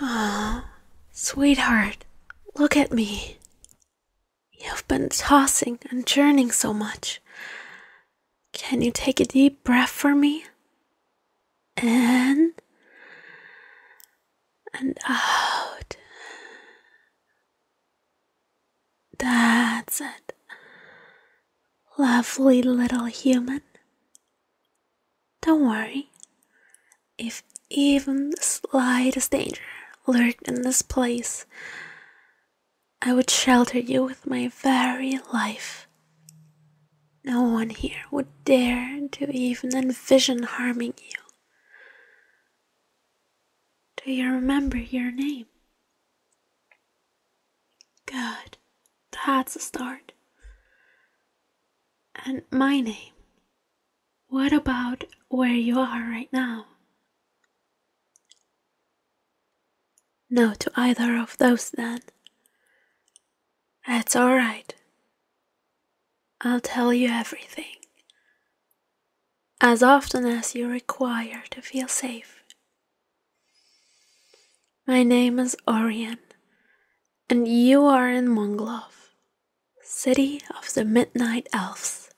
Ah, sweetheart, look at me. You've been tossing and churning so much. Can you take a deep breath for me? In and out. That's it. Lovely little human. Don't worry, if even the slightest danger lurked in this place, I would shelter you with my very life. No one here would dare to even envision harming you. Do you remember your name? Good. That's a start. And my name. What about where you are right now? No to either of those then. That's alright. I'll tell you everything. As often as you require to feel safe my name is Orion, and you are in Monglove, city of the Midnight Elves.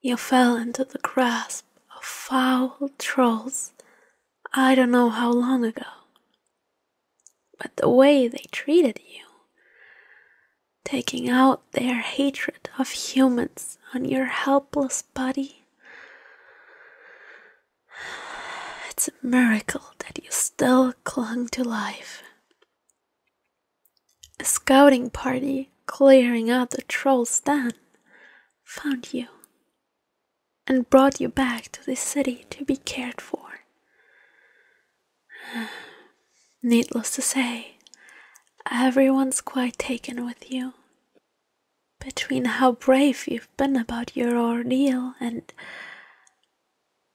You fell into the grasp of foul trolls I don't know how long ago. But the way they treated you, taking out their hatred of humans on your helpless body, it's a miracle that you still clung to life. A scouting party clearing out the troll's den found you and brought you back to this city to be cared for. Needless to say, everyone's quite taken with you between how brave you've been about your ordeal and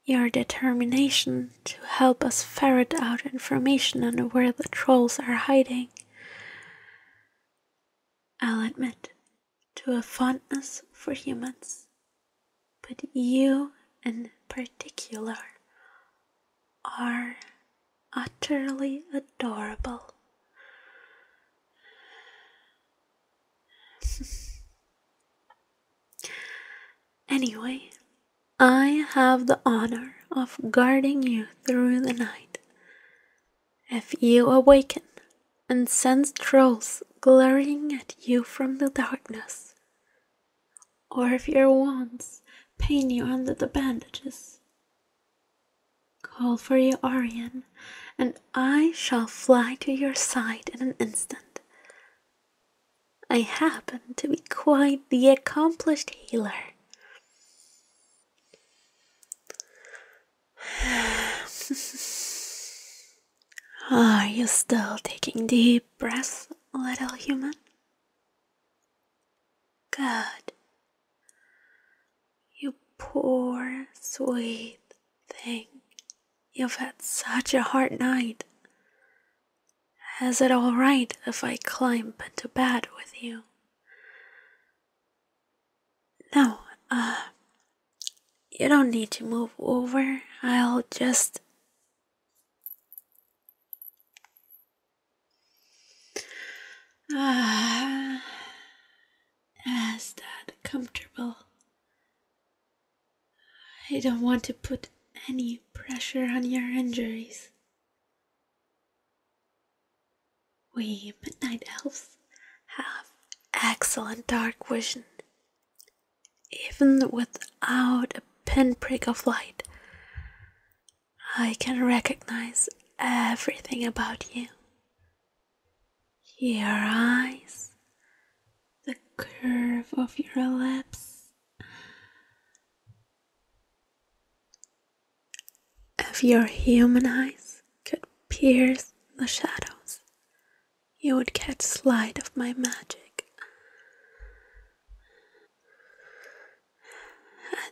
your determination to help us ferret out information on where the trolls are hiding. I'll admit to a fondness for humans, but you in particular are utterly adorable. anyway, I have the honor of guarding you through the night. If you awaken and sense trolls glaring at you from the darkness, or if your wounds pain you under the bandages, Call for your Orion, and I shall fly to your side in an instant. I happen to be quite the accomplished healer. Are you still taking deep breaths, little human? Good. You poor, sweet thing. You've had such a hard night. Is it all right if I climb into bed with you? No, uh, you don't need to move over. I'll just. Ah, is that comfortable? I don't want to put any pressure on your injuries. We midnight elves have excellent dark vision. Even without a pinprick of light, I can recognize everything about you your eyes, the curve of your lips. If your human eyes could pierce the shadows, you would catch sight of my magic.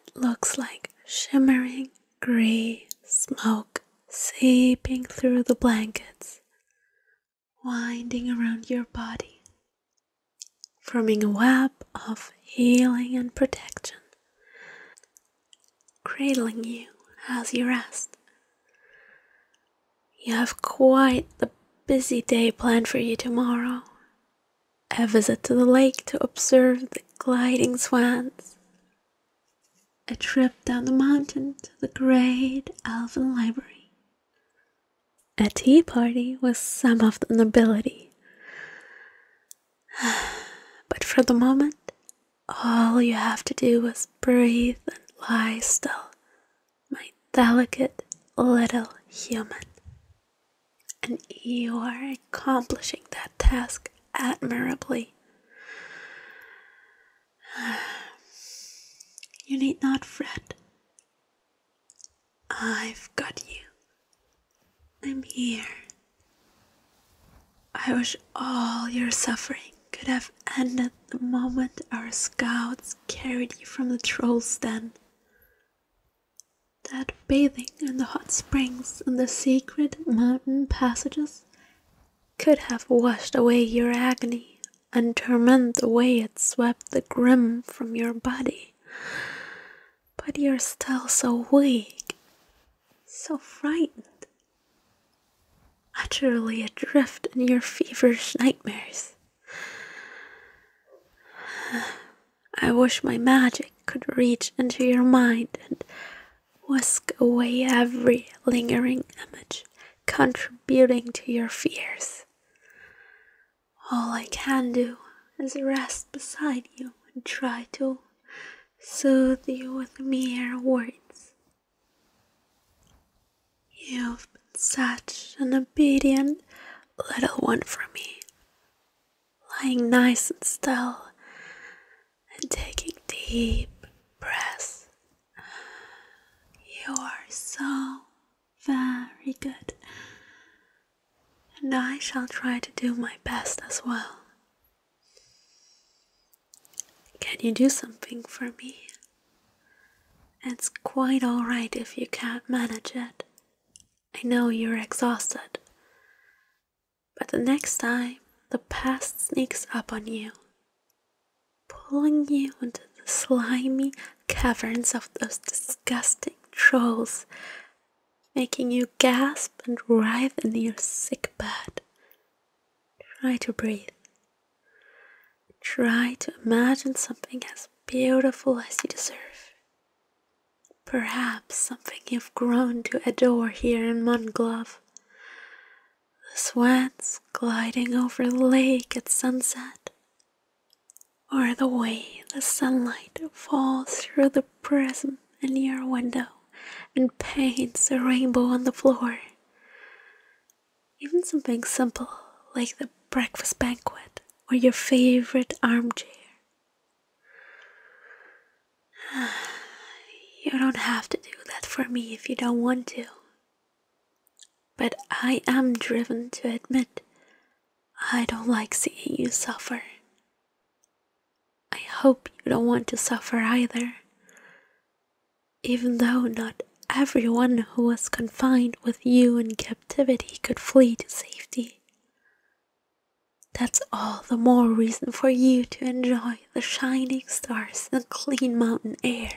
It looks like shimmering gray smoke seeping through the blankets, winding around your body, forming a web of healing and protection, cradling you as you rest. You have quite a busy day planned for you tomorrow, a visit to the lake to observe the gliding swans, a trip down the mountain to the great elven library, a tea party with some of the nobility. But for the moment, all you have to do is breathe and lie still my delicate little human. And you are accomplishing that task admirably. You need not fret. I've got you. I'm here. I wish all your suffering could have ended the moment our scouts carried you from the troll's den that bathing in the hot springs and the sacred mountain passages could have washed away your agony and torment the way it swept the grim from your body. But you're still so weak, so frightened, utterly adrift in your feverish nightmares. I wish my magic could reach into your mind and whisk away every lingering image contributing to your fears. All I can do is rest beside you and try to soothe you with mere words. You've been such an obedient little one for me, lying nice and still and taking deep breaths. You are so very good, and I shall try to do my best as well. Can you do something for me? It's quite alright if you can't manage it. I know you're exhausted. But the next time the past sneaks up on you, pulling you into the slimy caverns of those disgusting trolls, making you gasp and writhe in your sick bed. Try to breathe Try to imagine something as beautiful as you deserve. Perhaps something you've grown to adore here in Munglove. The swans gliding over the lake at sunset, or the way the sunlight falls through the prism in your window and paints a rainbow on the floor. Even something simple like the breakfast banquet or your favorite armchair. You don't have to do that for me if you don't want to. But I am driven to admit I don't like seeing you suffer. I hope you don't want to suffer either even though not everyone who was confined with you in captivity could flee to safety. That's all the more reason for you to enjoy the shining stars and clean mountain air.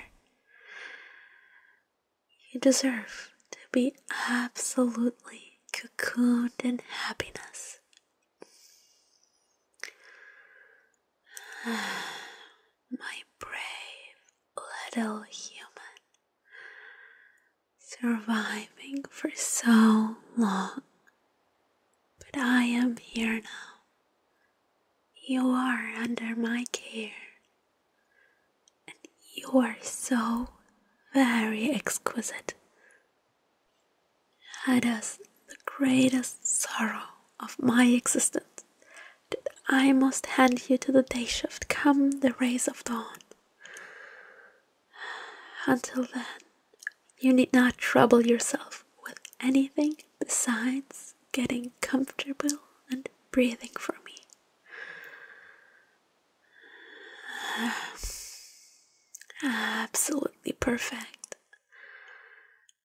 You deserve to be absolutely cocooned in happiness. my brave little human, surviving for so long. But I am here now. You are under my care, and you are so very exquisite. Had us the greatest sorrow of my existence that I must hand you to the day shift come the rays of dawn. Until then, you need not trouble yourself with anything besides getting comfortable and breathing for me. Absolutely perfect